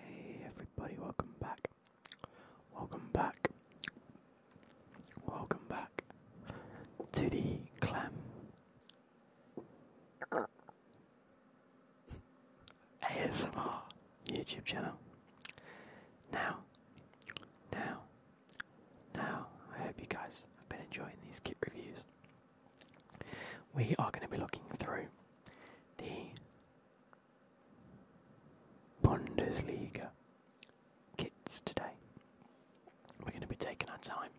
Hey everybody, welcome back. Welcome back. Welcome back to the clam. ASMR YouTube channel. Now, now, now, I hope you guys have been enjoying these kit reviews we are going to be looking through the Bundesliga kits today. We're going to be taking our time.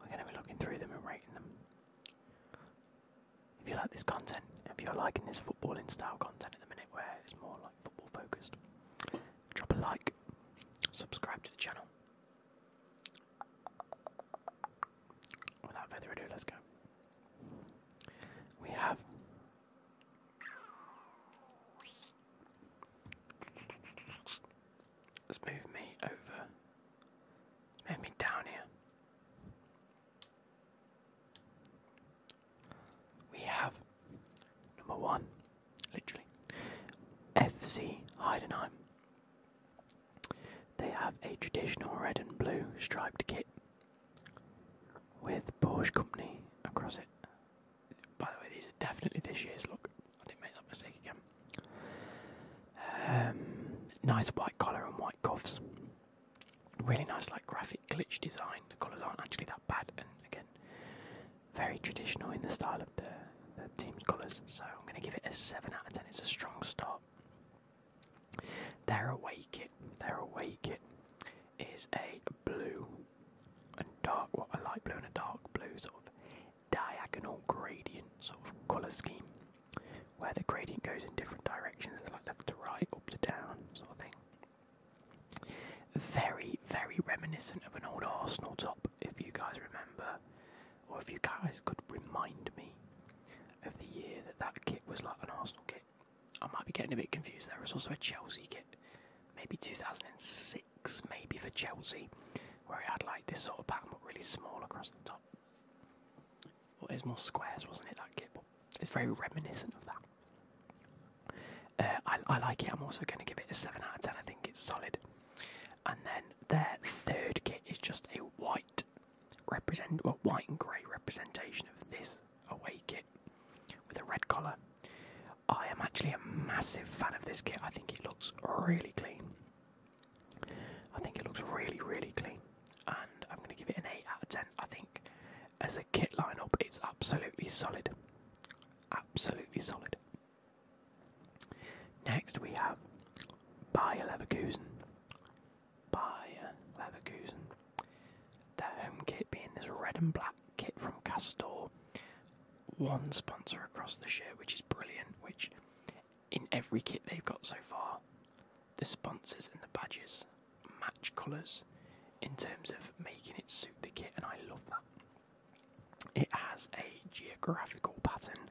We're going to be looking through them and rating them. If you like this content, if you're liking this footballing style content at the minute where it's more like football focused, drop a like, subscribe to the channel, Without further ado, let's go. We have Let's move me over. Move me down here. We have number one, literally, FC Heidenheim. They have a traditional red and blue striped kit with Porsche Company across it. By the way, these are definitely this year's look. I didn't make that mistake again. Um, nice white collar and white cuffs. Really nice, like graphic glitch design. The colours aren't actually that bad, and again, very traditional in the style of the team's colours. So I'm going to give it a seven out of ten. It's a strong start. Their away kit, their away kit is a blue and dark, a light blue and a dark blue sort of diagonal gradient sort of colour scheme, where the gradient goes in different directions, like left to right, up to down, sort of thing. Very, very reminiscent of an old Arsenal top, if you guys remember or if you guys could remind me of the year that that kit was like an Arsenal kit. I might be getting a bit confused there. was also a Chelsea kit, maybe 2006, maybe for Chelsea, where it had like this sort of pattern but really small across the top. Well, it more squares, wasn't it, that kit? But it's very reminiscent of that. Uh, I, I like it. I'm also going to give it a 7 out of 10. I think it's solid. And then their third kit is just a white represent well white and grey representation of this away kit with a red collar. I am actually a massive fan of this kit. I think it looks really clean. I think it looks really, really clean. And I'm gonna give it an 8 out of 10. I think as a kit lineup it's absolutely solid. Absolutely solid. Next we have by Leverkusen. Bayer Leverkusen. Their home kit being this red and black kit from Castor. One sponsor across the shirt, which is brilliant. Which, in every kit they've got so far, the sponsors and the badges match colours in terms of making it suit the kit, and I love that. It has a geographical pattern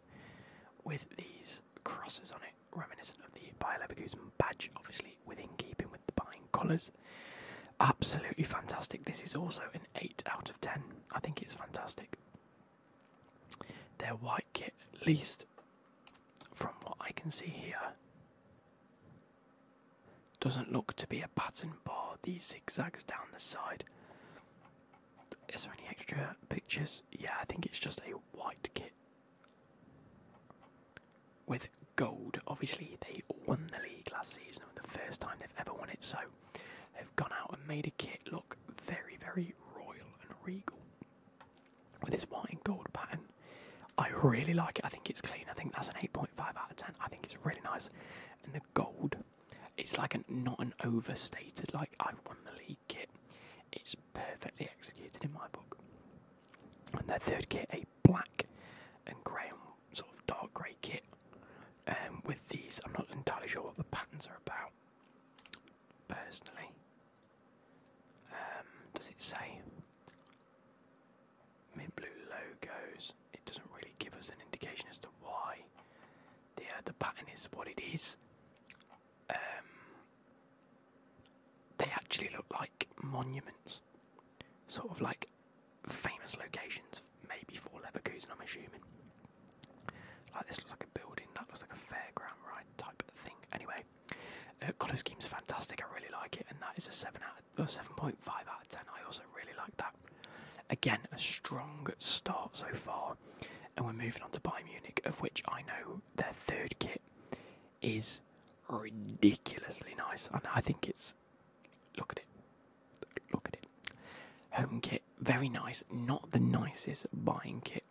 with these crosses on it, reminiscent of the Bayer Leverkusen badge, obviously within keeping with the buying colours. Absolutely fantastic. This is also an 8 out of 10. I think it's fantastic. Their white kit, at least from what I can see here, doesn't look to be a pattern bar. These zigzags down the side is there any extra pictures? Yeah, I think it's just a white kit with gold. Obviously, they won the league last season, the first time they've ever won it, so they've gone out and made a kit look very, very royal and regal with this white and gold pattern. I really like it. I think it's clean. I think that's an 8.5 out of 10. I think it's really nice. And the gold, it's like an not an overstated like I've won the league kit. It's perfectly executed in my book. And their third kit, a black and grey, sort of dark grey kit. Um, with these, I'm not entirely sure what the patterns are about, personally. Um, does it say? Mint blue logos. It doesn't really give us an indication as to why. The, uh, the pattern is what it is. Um, they actually look like monuments, sort of like famous locations, maybe for Leverkusen, I'm assuming. Like this looks like a building, that looks like a fairground ride type thing. Anyway, uh, colour scheme's fantastic. I really like it, and that is a seven out, uh, seven point five out of ten. I also really like that. Again, a strong start so far and we're moving on to Bayern Munich, of which I know their third kit is ridiculously nice, and I think it's look at it, look at it. Home kit, very nice, not the nicest buying kit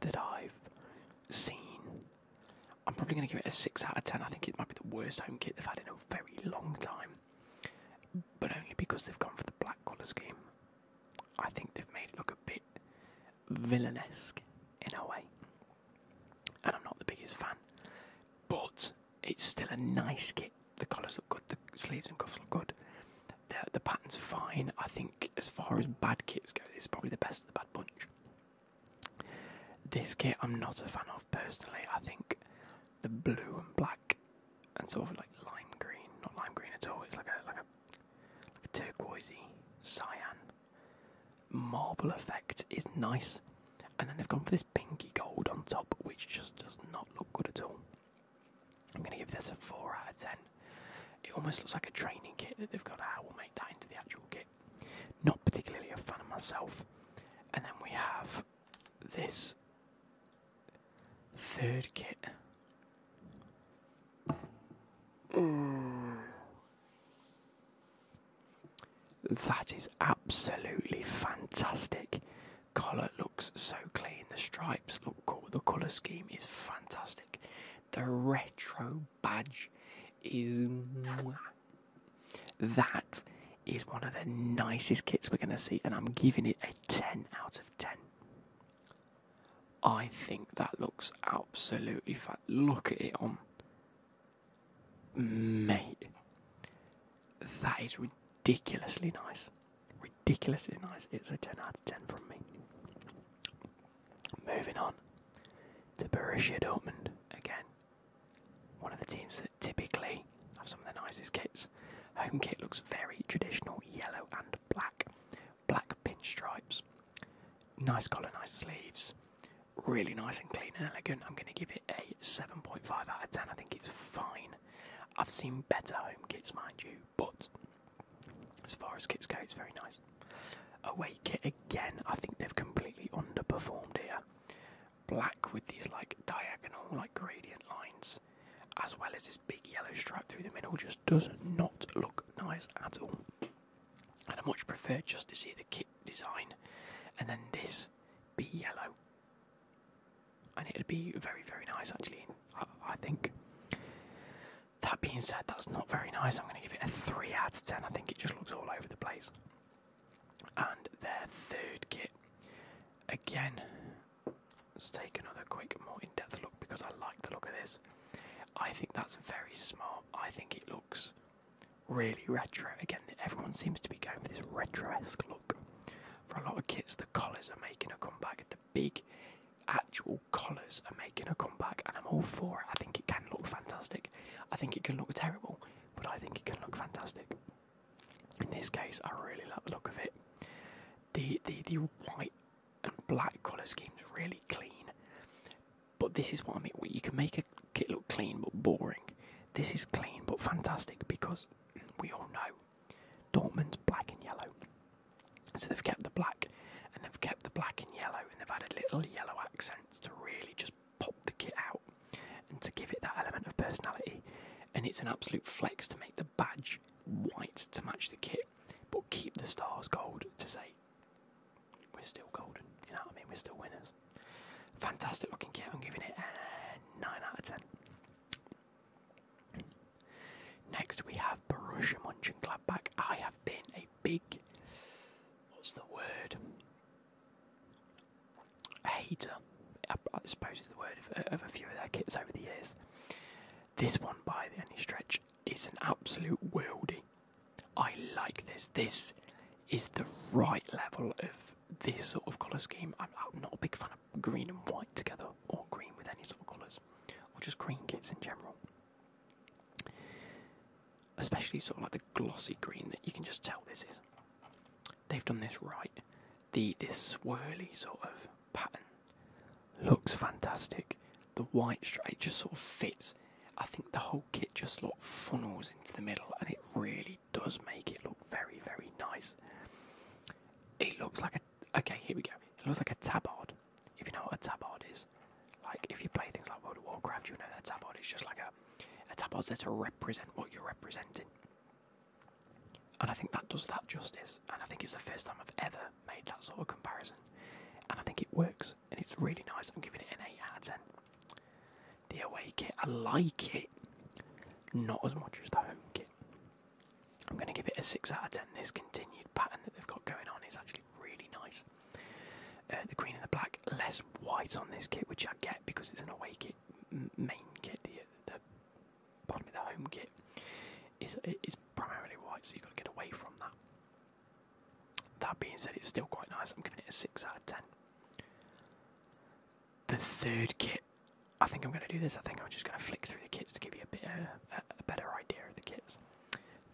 that I've seen. I'm probably going to give it a 6 out of 10. I think it might be the worst home kit they've had in a very long time. But only because they've gone for the black colour scheme. I think they've made it look a bit villainesque in a way. And I'm not the biggest fan. But it's still a nice kit. The colours look good, the sleeves and cuffs look good. The, the pattern's fine. I think, as far as bad kits go, this is probably the best of the bad bunch. This kit I'm not a fan of personally. I think the blue and black and sort of like lime green, not lime green at all. It's like a like a like a turquoisey, cyan. Marble effect is nice. And then they've gone for this pinky gold on top, which just does not look good at all. I'm going to give this a 4 out of 10. It almost looks like a training kit that they've got out. We'll make that into the actual kit. Not particularly a fan of myself. And then we have this Third kit. Mm. That is absolutely fantastic. Collar looks so clean. The stripes look cool. The colour scheme is fantastic. The retro badge is. That is one of the nicest kits we're going to see, and I'm giving it a 10 out of 10. I think that looks absolutely fat. Look at it on. Mate, that is ridiculously nice. Ridiculously nice. It's a 10 out of 10 from me. Moving on to Borussia Dortmund again. One of the teams that typically have some of the nicest kits. Home kit looks very traditional, yellow and black black pinstripes. Nice collar, nice sleeves. Really nice and clean and elegant. I'm going to give it a 7.5 out of 10. I think it's fine. I've seen better home kits, mind you, but as far as kits go, it's very nice. Away kit again, I think they've completely underperformed here. Black with these like diagonal, like gradient lines as well as this big yellow stripe through the middle just does not look nice at all. And I much prefer just to see the kit design and then this be yellow. And it'd be very, very nice actually, I think. That being said, that's not very nice. I'm going to give it a 3 out of 10. I think it just looks all over the place. And their third kit, again, Let's take another quick, more in depth look because I like the look of this. I think that's very smart. I think it looks really retro. Again, everyone seems to be going for this retro look. For a lot of kits, the collars are making a comeback. The big actual collars are making a comeback, and I'm all for it. I think it can look fantastic. I think it can look terrible, but I think it can look fantastic. In this case, I really like the look of it. The the the white and black colour schemes really clean. But this is what I mean. You can make a kit look clean but boring. This is clean but fantastic because we all know Dortmund's black and yellow. So they've kept the black and they've kept the black and yellow and they've added little yellow accents to really just pop the kit out and to give it that element of personality. And it's an absolute flex to make the badge white to match the kit, but keep the stars gold to say we're still golden. You know what I mean? We're still winners. Fantastic looking kit. I'm giving it a 9 out of 10. Next, we have Borussia back. I have been a big, what's the word? hater, I, suppose is the word of a few of their kits over the years. This one by any stretch is an absolute worldie. I like this. This is the right level of this sort of colour scheme. I'm not a big fan of green and white together, or green with any sort of colours, or just green kits in general. Especially sort of like the glossy green that you can just tell this is. They've done this right the this swirly sort of pattern looks fantastic. The white stripe just sort of fits. I think the whole kit just like funnels into the middle, and it really does make it look very, very nice. It looks like a okay. Here we go. It looks like a tabard. If you know what a tabard is, like if you play things like World of Warcraft, you know that tabard is just like a a tabard's there to represent what you're representing. And I think that does that justice. And I think it's the first time I've ever made that sort of comparison. And I think it works. And it's really nice. I'm giving it an 8 out of 10. The away kit, I like it. Not as much as the home kit. I'm going to give it a 6 out of 10. This continued pattern that they've got going on is actually really nice. Uh, the green and the black, less white on this kit, which I get because it's an away kit, main kit, pardon me, the home kit is is primarily white, so you've got to get away from that. That being said, it's still quite nice. I'm giving it a six out of ten. The third kit, I think I'm going to do this. I think I'm just going to flick through the kits to give you a bit uh, a better idea of the kits.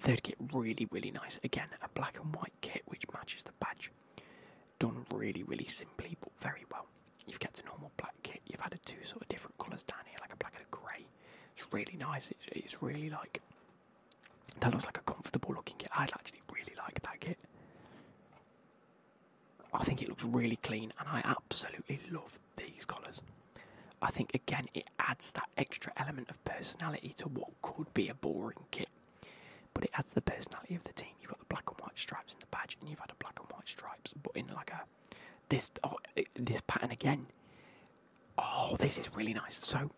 Third kit, really really nice. Again, a black and white kit which matches the badge. Done really really simply, but very well. You've got a normal black kit. You've added two sort of different colours down here, like a black and a grey. It's really nice. It's, really like that looks like a comfortable looking kit. I would actually really like that kit. I think it looks really clean, and I absolutely love these colours. I think again it adds that extra element of personality to what could be a boring kit, but it adds the personality of the team. You've got the black and white stripes in the badge, and you've had a black and white stripes, but in like a this oh, eh, this pattern again. Oh, this is really nice. So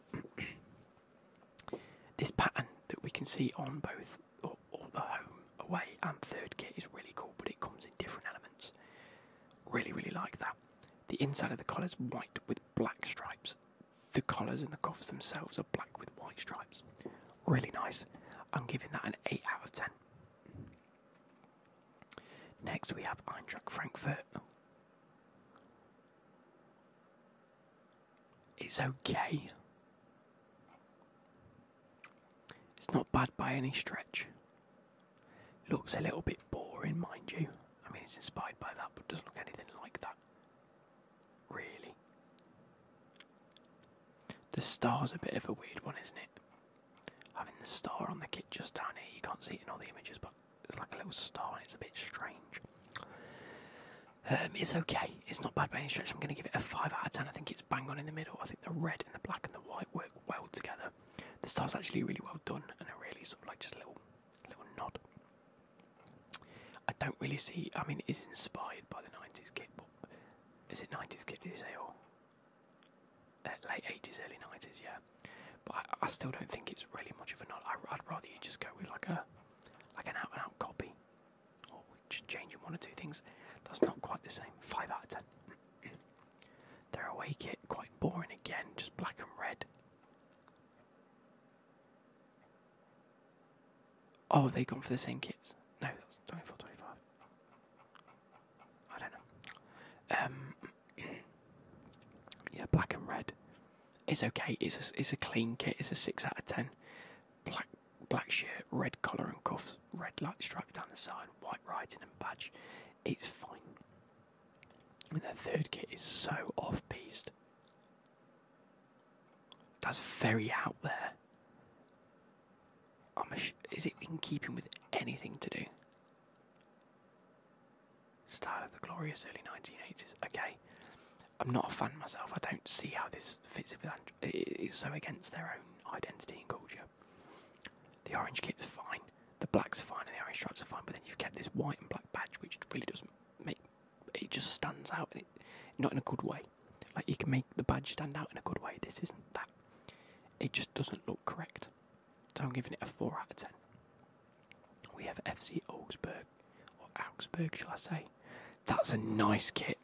this pattern that we can see on both or, the home, away, and third kit is really cool, but it comes in different elements. Really, really like that. The inside of the collar's white with black stripes. The collars and the cuffs themselves are black with white stripes. Really nice. I'm giving that an 8 out of 10. Next we have Eintracht Frankfurt. It's okay. It's not bad by any stretch. Looks a little bit boring, mind you. I mean, it's inspired by that, but doesn't look anything like that. Really. The star's a bit of a weird one, isn't it? having the star on the kit just down here. You can't see it in all the images, but it's like a little star, and it's a bit strange. Um, it's okay. It's not bad by any stretch. I'm going to give it a five out of ten. I think it's bang on in the middle. I think the red and the black and the white work well together. The star's actually really well done, and a really sort of like just a little, little nod. I don't really see. I mean, it is inspired by the '90s kit, but is it '90s kit? Is it all? Uh, late eighties, early nineties, yeah. But I, still don't think it's really much of a nod. I, would rather you just go with like a like an out and out copy, or just changing one or two things. That's not quite the same. Five out of ten. Their away kit quite boring again, just black and red. Oh, they gone for the same kits? No, that's 24, 25. I don't know. Um, yeah, black and red is okay. It's a, it's a clean kit. It's a six out of ten. Black black shirt, red collar and cuffs, red light stripe down the side, white writing and badge. It's fine. And the third kit is so off pieced That's very out there is it in keeping with anything to do? Style of the glorious early 1980s. Okay, I'm not a fan myself. I don't see how this fits with. It's so against their own identity and culture. The orange kit's fine. The black's fine, and the orange stripes are fine. But then you've kept this white and black badge, which really doesn't make. It just stands out, and it, not in a good way. Like you can make the badge stand out in a good way. This isn't that it just doesn't look correct. So I'm giving it a 4 out of 10. We have FC Augsburg, or Augsburg, shall I say. That's a nice kit.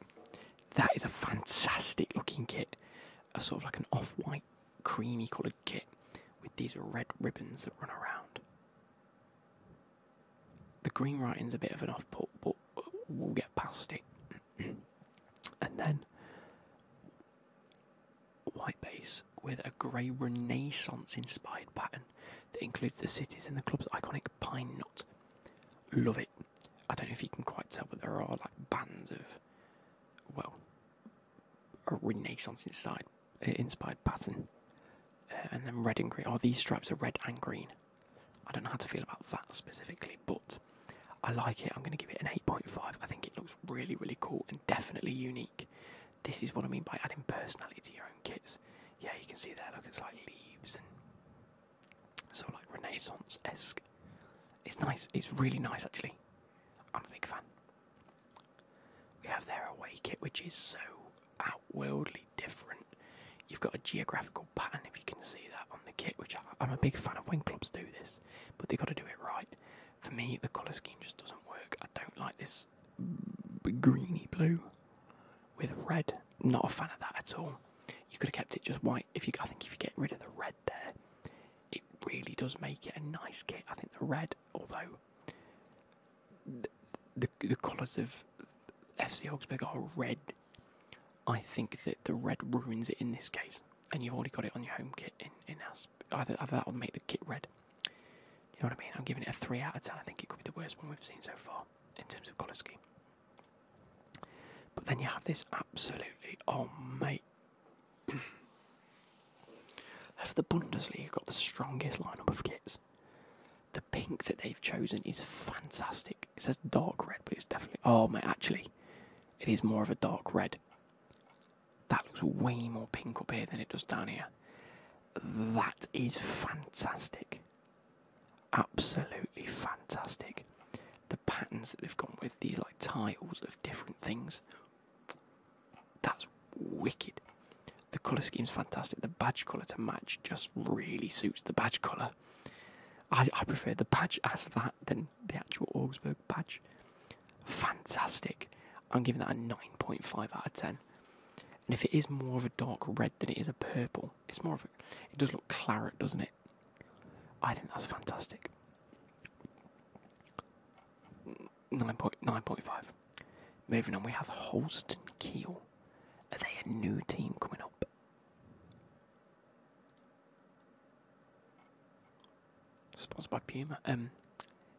That is a fantastic looking kit. A sort of like an off white, creamy coloured kit with these red ribbons that run around. The green writing's a bit of an off put, but we'll get past it. and then white base with a grey Renaissance inspired pattern that includes the cities and the club's iconic pine knot. Love it. I don't know if you can quite tell, but there are like bands of, well, a Renaissance inspired, eh, inspired pattern. Uh, and then red and green. Oh, these stripes are red and green. I don't know how to feel about that specifically, but I like it. I'm going to give it an 8.5. I think it looks really, really cool and definitely unique. This is what I mean by adding personality to your own kits. Yeah, you can see there, look, it's like leaves and sort of like Renaissance esque. It's nice, it's really nice actually. I'm a big fan. We have their away kit, which is so outworldly different. You've got a geographical pattern, if you can see that on the kit, which I, am a big fan of when clubs do this but they got to do it right. For me, the colour scheme just doesn't work. I don't like this greeny blue with red. Not a fan of that at all. You could have kept it just white. If you, I think if you get rid of the red there, it really does make it a nice kit. I think the red, although the the, the colours of FC Augsburg are red, I think that the red ruins it in this case, and you've already got it on your home kit in in house. Either, that would make the kit red. You know what I mean? I'm giving it a three out of ten. I think it could be the worst one we've seen so far in terms of colour scheme. But then you have this absolutely oh mate. Have the Bundesliga got the strongest lineup of kits? The pink that they've chosen is fantastic it says dark red, but it's definitely oh my! actually, it is more of a dark red. That looks way more pink up here than it does down here. That is fantastic. Absolutely fantastic. The patterns that they've gone with, these like tiles of different things. That's wicked. The colour scheme's fantastic. The badge colour to match just really suits the badge colour. I, I prefer the badge as that than the actual Augsburg badge. Fantastic. I'm giving that a 9.5 out of 10. And if it is more of a dark red than it is a purple, it's more of a. It does look claret, doesn't it? I think that's fantastic. 9.9.5. Moving on, we have Holstein Kiel. Are they a new team coming up? Sponsored by Puma. Um,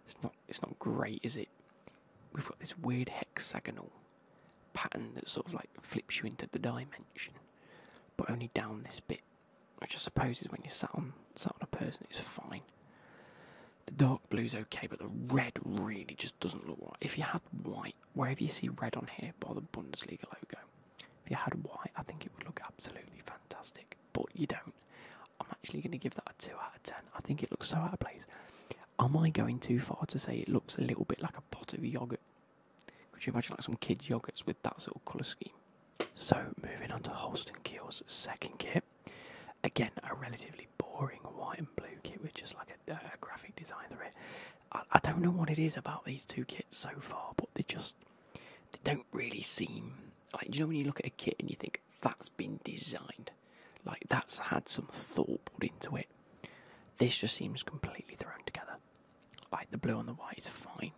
it's not. It's not great, is it? We've got this weird hexagonal pattern that sort of like flips you into the dimension, but only down this bit, which I suppose is when you sat on sat on a person, it's fine. The dark blue's okay, but the red really just doesn't look right. If you had white, wherever you see red on here, by the Bundesliga logo, if you had white, I think it would look absolutely fantastic, but you don't. I'm actually going to give that a 2 out of 10. I think it looks so out of place. Am I going too far to say it looks a little bit like a pot of yogurt? Could you imagine like some kids' yogurts with that sort of colour scheme? So, moving on to Holston Kiel's second kit. Again, a relatively boring white and blue kit with just like a uh, graphic design through it. I, don't know what it is about these two kits so far, but they just they don't really seem like. Do you know when you look at a kit and you think that's been designed, like that's had some thought put into it. This just seems completely thrown together. Like the blue and the white is fine.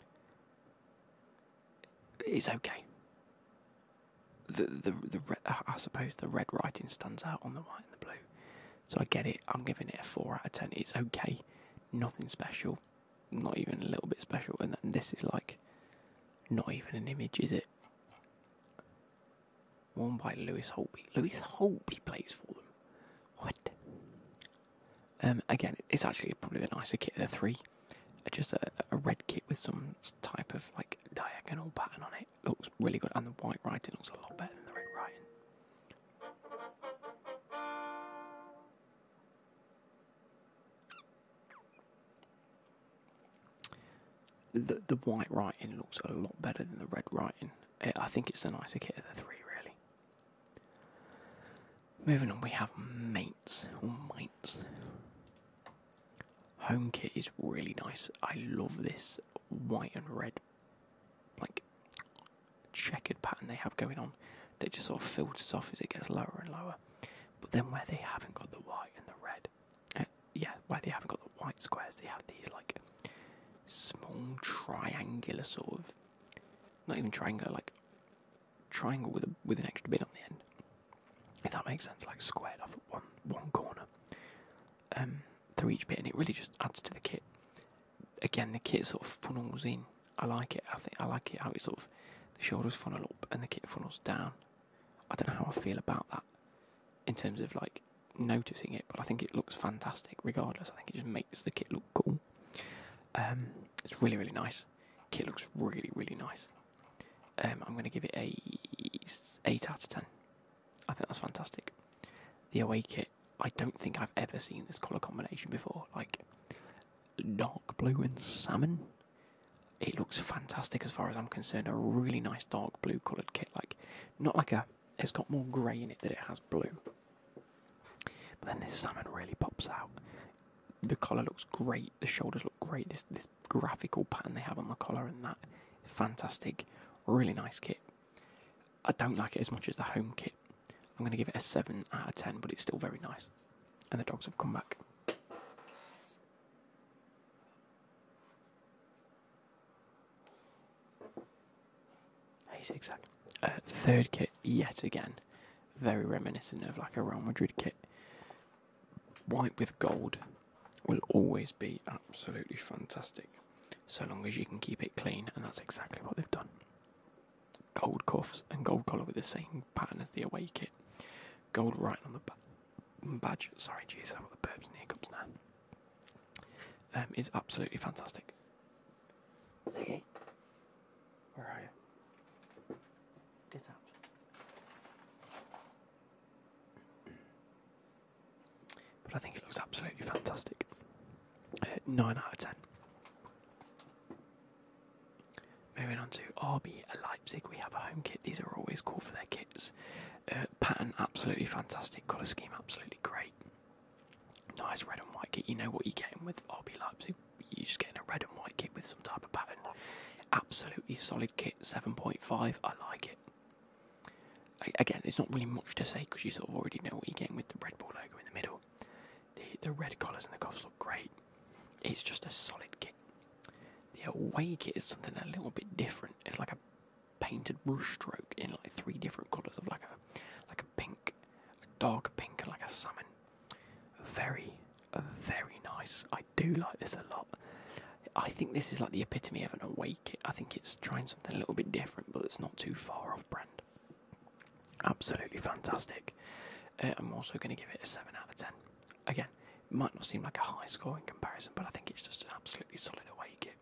It's okay. The the the I suppose the red writing stands out on the white and the blue, so I get it. I'm giving it a four out of ten. It's okay nothing special, not even a little bit special, and then this is like not even an image, is it? One by Lewis Holtby. Lewis Holtby plays for them. What? Um, again, it's actually probably the nicer kit of the three. Uh, just a, a red kit with some type of like diagonal pattern on it. Looks really good, and the white writing looks a lot better than the red writing. The, the white writing looks a lot better than the red writing. Eh, I think it's the nicer kit of the three, really. Moving on, we have mates or mates. Home kit is really nice. I love this white and red like checkered pattern they have going on that just sort of filters off as it gets lower and lower. But then where they haven't got the white and the red, uh, yeah, where they haven't got the white squares, they have these like small triangular sort of, not even triangular, like triangle with a, with an extra bit on the end. If that makes sense, like squared off at one one corner. Um, through each bit, and it really just adds to the kit again the kit sort of funnels in. I like it. I think I like it how it sort of the shoulders funnel up and the kit funnels down. I don't know how I feel about that in terms of like noticing it, but I think it looks fantastic regardless. I think it just makes the kit look cool. Um, it's really really nice. Kit looks really really nice. Um, I'm going to give it a 8 out of 10. I think that's fantastic. The away kit I don't think I've ever seen this colour combination before. Like dark blue and salmon. It looks fantastic as far as I'm concerned. A really nice dark blue coloured kit. Like not like a it's got more grey in it than it has blue. But then this salmon really pops out. The collar looks great, the shoulders look great, this this graphical pattern they have on the collar and that fantastic, really nice kit. I don't like it as much as the home kit. I'm going to give it a 7 out of 10, but it's still very nice. And the dogs have come back. Hey, zigzag. Uh, third kit, yet again. Very reminiscent of like a Real Madrid kit. White with gold will always be absolutely fantastic so long as you can keep it clean, and that's exactly what they've done gold cuffs and gold collar with the same pattern as the away kit. Gold writing on the badge. Sorry, jeez, I've got the burps and the hiccups now. Um, is absolutely fantastic. Ziggy, where are you? Get out. But I think it looks absolutely fantastic. 9 out of 10. Moving on to RB Leipzig, we have a home kit. These are always cool for their kits. Uh, pattern, absolutely fantastic. Colour scheme, absolutely great. Nice red and white kit. You know what you're getting with RB Leipzig. You're just getting a red and white kit with some type of pattern. Absolutely solid kit, 7.5. I like it. again, it's not really much to say because you sort of already know what you're getting with the Red Bull logo in the middle. The the red colors and the cuffs look great. It's just a solid kit. The away kit is something a little bit different. It's like a painted brushstroke in like three different colours of like a like a pink, a dark pink, and like a salmon. Very, very nice. I do like this a lot. I think this is like the epitome of an awake kit. I think it's trying something a little bit different, but it's not too far off brand. Absolutely fantastic. Uh, I'm also going to give it a 7 out of 10. Again, it might not seem like a high score in comparison, but I think it's just an absolutely solid away kit.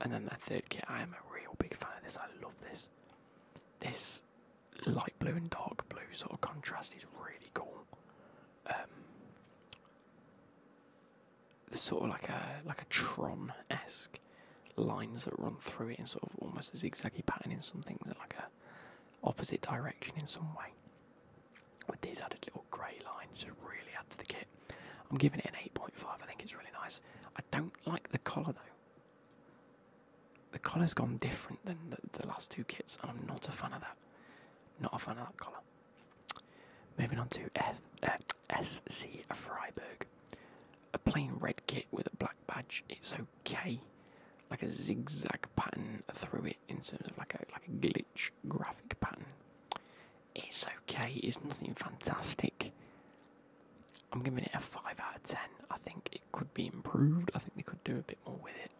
And then that third kit, I am a real big fan of this. I love this. This light blue and dark blue sort of contrast is really cool. Um, sort of like a like a Tron esque lines that run through it in sort of almost a zigzaggy pattern in some things, and like a opposite direction in some way. With these added little grey lines, just really add to the kit. I'm giving it an 8.5. I think it's really nice. I don't like the collar though. The collar's gone different than the, last two kits, and I'm not a fan of that. Not a fan of that collar. Moving on to F, uh, SC Freiburg. A plain red kit with a black badge, it's okay. Like a zigzag pattern through it in terms of like a like a glitch graphic pattern. It's okay, it's nothing fantastic. I'm giving it a 5 out of 10. I think it could be improved. I think they could do a bit more with it.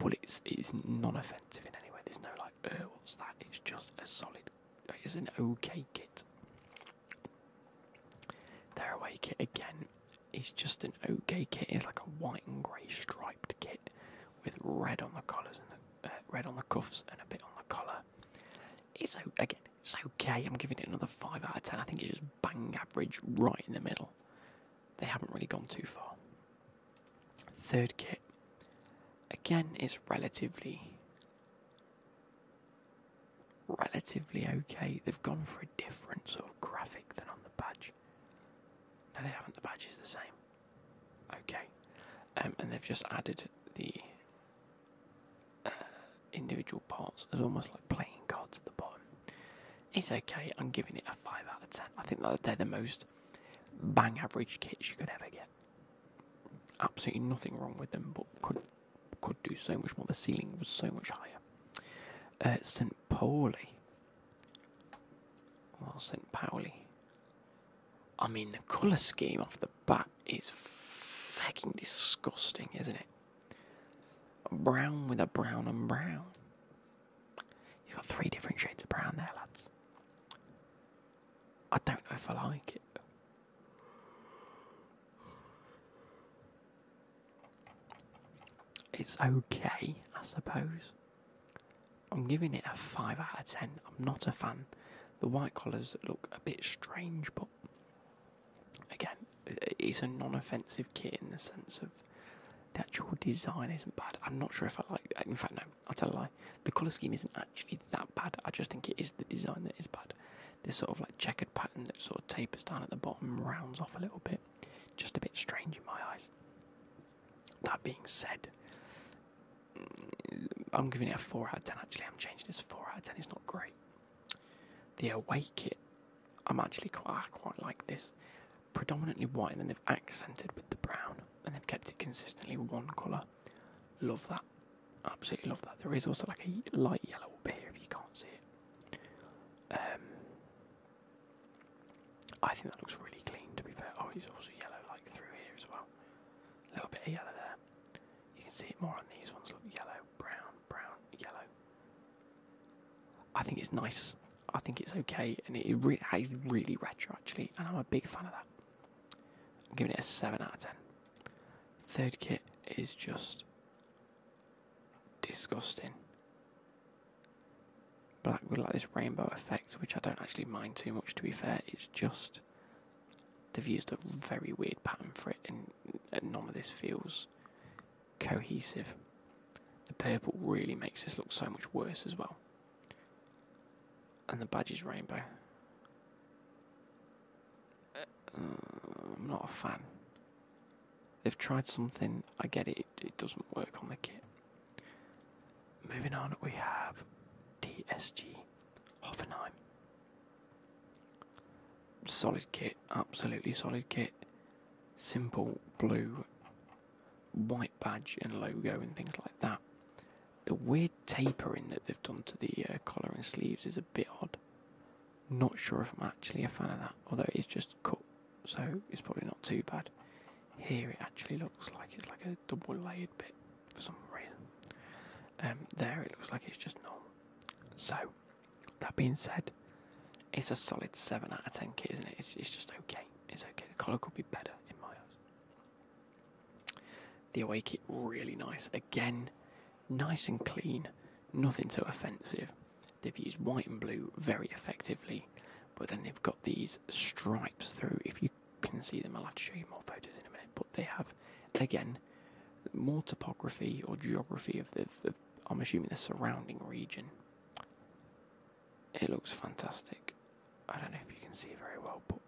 But it's, it's non offensive in any way. There's no like, uh, what's that? It's just a solid, it's an okay kit. Their away kit again is just an okay kit. It's like a white and grey striped kit with red on the collars and uh, red on the cuffs and a bit on the collar. it's okay. I'm giving it another five out of ten. I think it's just bang average, right in the middle. They haven't really gone too far. Third kit again is relatively relatively okay. They've gone for a different sort of graphic than on the badge. No, they haven't. The badge is the same. Okay, um, and they've just added the uh, individual parts as almost like playing cards at the bottom. It's okay. I'm giving it a five out of ten. I think that they're the most bang average kits you could ever get. Absolutely nothing wrong with them, but could could do so much more. The ceiling was so much higher. Uh, St. Pauli. Well, St. Pauli. I mean, the colour scheme off the bat is fucking disgusting, isn't it? Brown with a brown and brown. You've got three different shades of brown there, lads. I don't know if I like it. It's okay, I suppose. I'm giving it a 5 out of 10. I'm not a fan. The white collars look a bit strange, but again, it's a non offensive kit in the sense of the actual design isn't bad. I'm not sure if I like In fact, no, I'll tell a the colour scheme isn't actually that bad, I just think it is the design that is bad. This sort of like checkered pattern that sort of tapers down at the bottom rounds off a little bit. Just a bit strange in my eyes. That being said, mm, I'm giving it a 4 out of 10. Actually, I'm changing it to 4 out of 10. It's not great. The away kit, I'm actually quite, quite like this. Predominantly white, and then they've accented with the brown, and they've kept it consistently one colour. Love that. Absolutely love that. There is also like a light yellow bit here if you can't see it. Um, I think that looks really clean to be fair. Oh, it's also yellow like through here as well. A little bit of yellow there. You can see it more on these ones. Look, yellow, brown, brown, yellow. I think it's nice. I think it's okay, and it, it re really retro actually, and I'm a big fan of that. I'm giving it a 7 out of 10. Third kit is just disgusting. Black with like this rainbow effect, which I don't actually mind too much to be fair, it's just they've used a very weird pattern for it and, none of this feels cohesive. The purple really makes this look so much worse as well and the badge is rainbow. Uh, I'm not a fan. They've tried something, I get it, it doesn't work on the kit. Moving on, we have DSG Hoffenheim. Solid kit, absolutely solid kit. Simple blue, white badge and logo and things like that. The weird tapering that they've done to the uh, collar and sleeves is a bit odd. Not sure if I'm actually a fan of that, although it's just cut, so it's probably not too bad. Here it actually looks like it's like a double layered bit for some reason. Um, there it looks like it's just normal. So, that being said, it's a solid 7 out of 10 isn't it? It's, it's just okay. It's okay. The collar could be better in my eyes. The away kit really nice. Again, nice and clean, nothing so offensive. They've used white and blue very effectively, but then they've got these stripes through. If you can see them, I'll have to show you more photos in a minute. But they have, again, more topography or geography of the I'm assuming the surrounding region. It looks fantastic. I don't know if you can see very well, but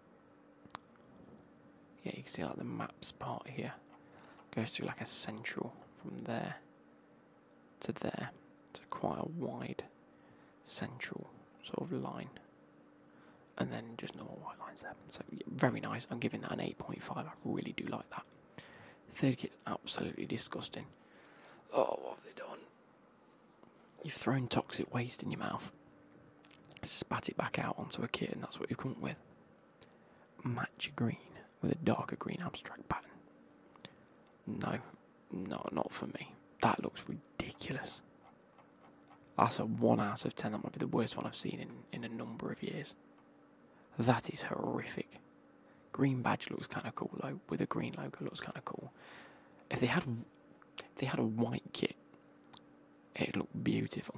yeah, you can see like the maps part here goes through like a central from there to there. It's quite a wide central sort of line, and then just normal white lines there. So very nice. I'm giving that an 8.5. I really do like that. third kit's absolutely disgusting. Oh, what have they done? You've thrown toxic waste in your mouth spat it back out onto a kit, and that's what we've come up with. Match green with a darker green abstract pattern. No, no, not for me. That looks ridiculous. That's a 1 out of 10. That might be the worst one I've seen in, in a number of years. That is horrific. Green badge looks kind of cool though, with a green logo looks kind of cool. If they had, if they had a white kit it looked beautiful.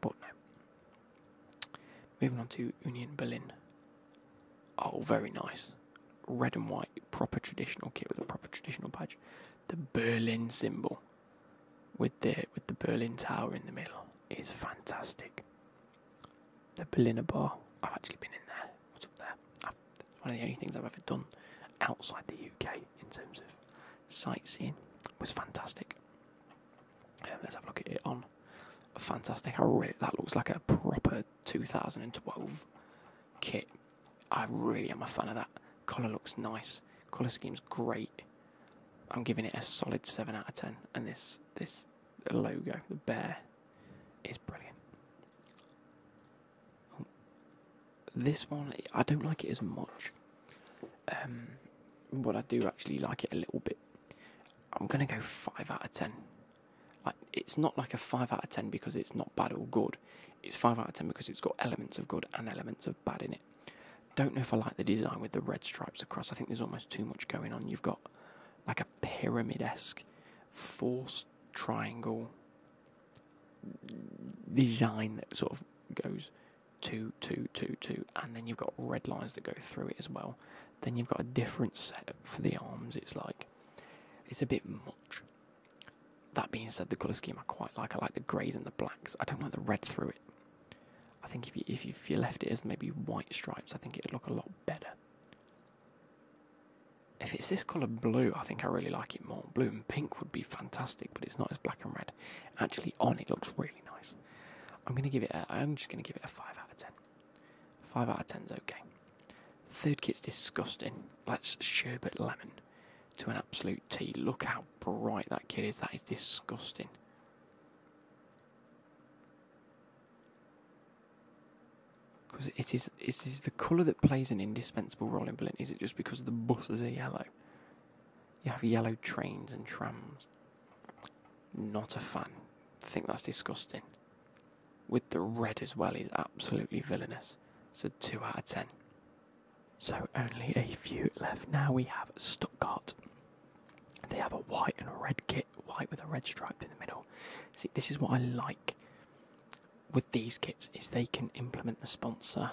But no. Moving on to Union Berlin. Oh, very nice. Red and white, proper traditional kit with a proper traditional badge. The Berlin symbol with the with the Berlin Tower in the middle is fantastic. The Berliner Bar. I've actually been in there. What's up there? one of the only things I've ever done outside the UK in terms of sightseeing was fantastic. Um, let's have a look at it on. Fantastic! I really that looks like a proper 2012 kit. I really am a fan of that. Color looks nice. Color scheme's great. I'm giving it a solid seven out of ten. And this this logo, the bear, is brilliant. This one, I don't like it as much. Um, but I do actually like it a little bit. I'm gonna go five out of ten. Like it's not like a five out of ten because it's not bad or good. It's five out of ten because it's got elements of good and elements of bad in it. Don't know if I like the design with the red stripes across. I think there's almost too much going on. You've got like a pyramid esque forced triangle design that sort of goes two, two, two, two, and then you've got red lines that go through it as well. Then you've got a different setup for the arms. It's like it's a bit much. That being said, the colour scheme I quite like. I like the greys and the blacks. I don't like the red through it. I think if you if if you left it as maybe white stripes, I think it'd look a lot better. If it's this colour blue, I think I really like it more. Blue Pink would be fantastic, but it's not as black and red. Actually, on it looks really nice. I'm i am just going to give it. A, I'm just gonna give it a five out of ten. Five out of ten is okay. Third kit's disgusting. That's sherbet lemon to an absolute T. Look how bright that kit is. That is disgusting. Because it is, it is the colour that plays an indispensable role in Berlin. Is it just because the buses are yellow? You have yellow trains and trams. Not a fan. think that's disgusting. With the red as well is absolutely villainous. So 2 out of 10. So only a few left. Now we have Stuttgart. They have a white and a red kit, white with a red stripe in the middle. See, this is what I like with these kits is they can implement the sponsor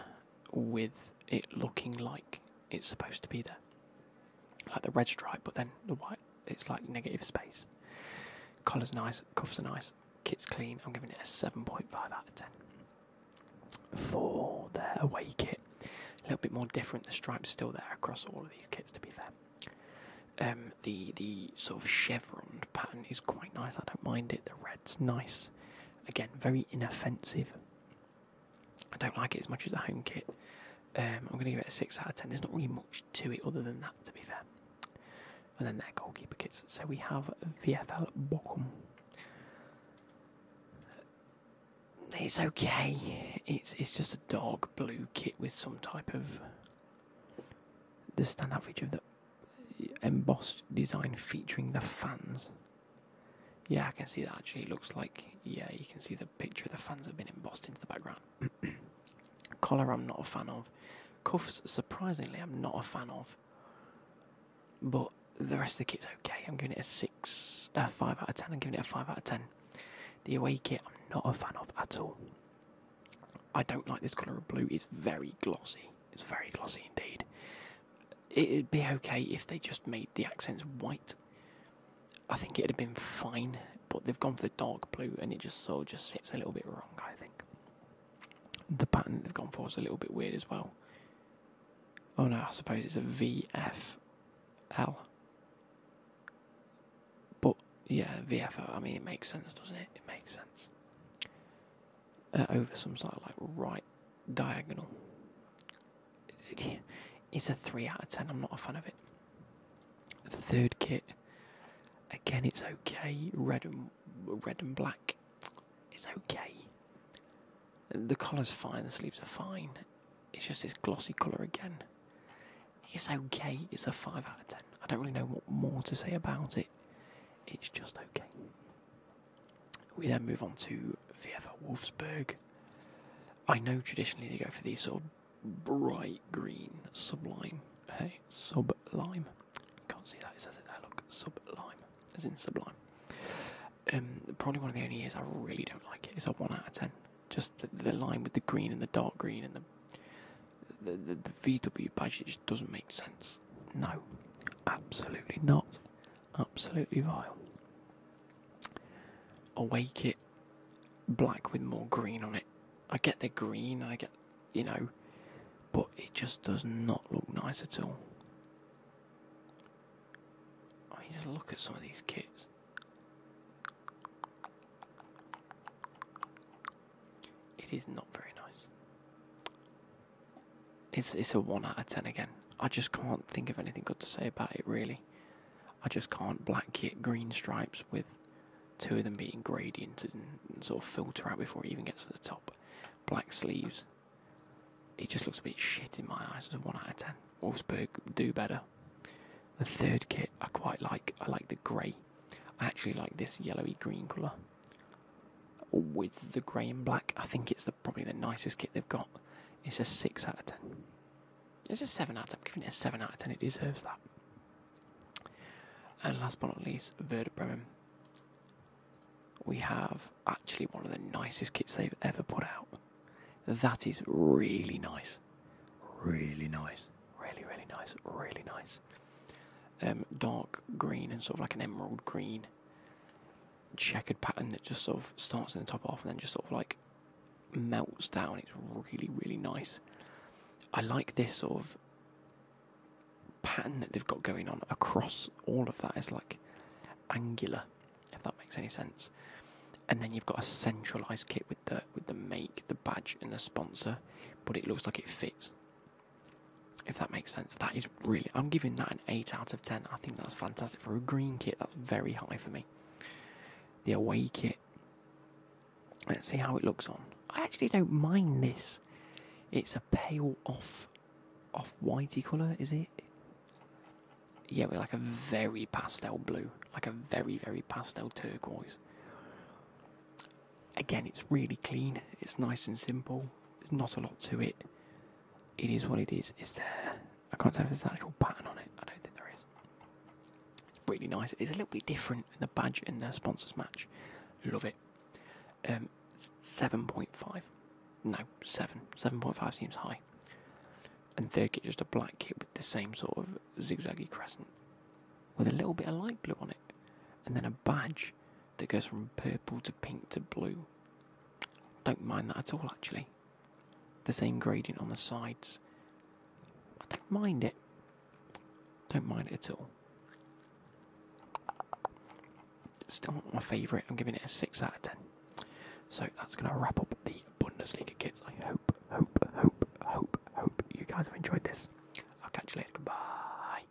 with it looking like it's supposed to be there. Like the red stripe, but then the white, it's like negative space. Collar's nice, cuffs are nice, kit's clean. I'm giving it a 7.5 out of 10. For their away kit, a little bit more different. The stripe's still there across all of these kits, to be fair. Um, the the sort of chevron pattern is quite nice. I don't mind it. The red's nice. Again, very inoffensive. I don't like it as much as the home kit. Um, I'm going to give it a 6 out of 10. There's not really much to it other than that, to be fair. And then their goalkeeper kits. So we have VFL Bochum. It's okay. It's it's just a dark blue kit with some type of the stand out feature of the embossed design featuring the fans. Yeah, I can see that actually. looks like, yeah, you can see the picture of the fans have been embossed into the background. Collar, I'm not a fan of. Cuffs, surprisingly, I'm not a fan of. But the rest of the kit's okay. I'm giving it a 6, a 5 out of 10. I'm giving it a 5 out of 10. The away kit, I'm not a fan of at all. I don't like this colour of blue. It's very glossy. It's very glossy indeed it'd be okay if they just made the accents white. I think it'd have been fine, but they've gone for the dark blue, and it just sort of just sits a little bit wrong. I think the pattern they've gone for is a little bit weird as well. Oh no, I suppose it's a VFL. But yeah, VFL. I mean, it makes sense, doesn't it? It makes sense. Uh, over some sort of like right diagonal. It's a 3 out of 10, I'm not a fan of it. The third kit, again, it's okay. Red and, red and black, it's okay. The collar's fine, the sleeves are fine. It's just this glossy colour again. It's okay, it's a 5 out of 10. I don't really know what more to say about it. It's just okay. We then move on to VfL Wolfsburg. I know traditionally they go for these sort of bright green sublime. Hey, sublime. Can't see that. It says it there. Look, sublime. As in sublime. Um, probably one of the only years I really don't like it is a one out of ten. Just the, the line with the green and the dark green and the the, the, the VW badge. It doesn't make sense. No, absolutely not. Absolutely vile. Awake it black with more green on it. I get the green, I get, you know, but it just does not look nice at all. I mean, just look at some of these kits. It is not very nice. It's it's a one out of ten again. I just can't think of anything good to say about it really. I just can't black kit green stripes with two of them being gradients and, and sort of filter out before it even gets to the top. Black sleeves. It just looks a bit shit in my eyes. It's a one out of ten. Wolfsburg do better. The third kit I quite like. I like the grey. I actually like this yellowy green colour with the grey and black. I think it's probably the nicest kit they've got. It's a 6 out of 10. It's a 7 out of 10. I'm giving it a 7 out of 10. It deserves that. And last but not least, Werder We have actually one of the nicest kits they've ever put out. That is really nice. Really nice. Really, really nice. Really nice. Um, dark green and sort of like an emerald green checkered pattern that just sort of starts in the top half and then just sort of like melts down. It's really, really nice. I like this sort of pattern that they've got going on across all of that. is like angular, if that makes any sense. And then you've got a centralized kit with the with the make, the badge, and the sponsor, but it looks like it fits. If that makes sense, that is really. I'm giving that an 8 out of 10. I think that's fantastic. For a green kit, that's very high for me. The away kit. Let's see how it looks on. I actually don't mind this. It's a pale off off whitey colour, is it? Yeah, with like a very pastel blue. Like a very, very pastel turquoise. Again, it's really clean, it's nice and simple, there's not a lot to it. It is what it is. It's there? I can't tell if there's an actual pattern on it. I don't think there is. It's really nice. It's a little bit different in the badge in their sponsors match. Love it. Um, seven point five. No, seven. Seven point five seems high. And third kit, just a black kit with the same sort of zigzaggy crescent, with a little bit of light blue on it, and then a badge that goes from purple to pink to blue. Don't mind that at all, actually. The same gradient on the sides. I don't mind it. Don't mind it at all. Still not my favourite. I'm giving it a 6 out of 10. So that's going to wrap up the Bundesliga kits. I hope, hope, hope, hope, hope you guys have enjoyed this. I'll catch you later. Goodbye.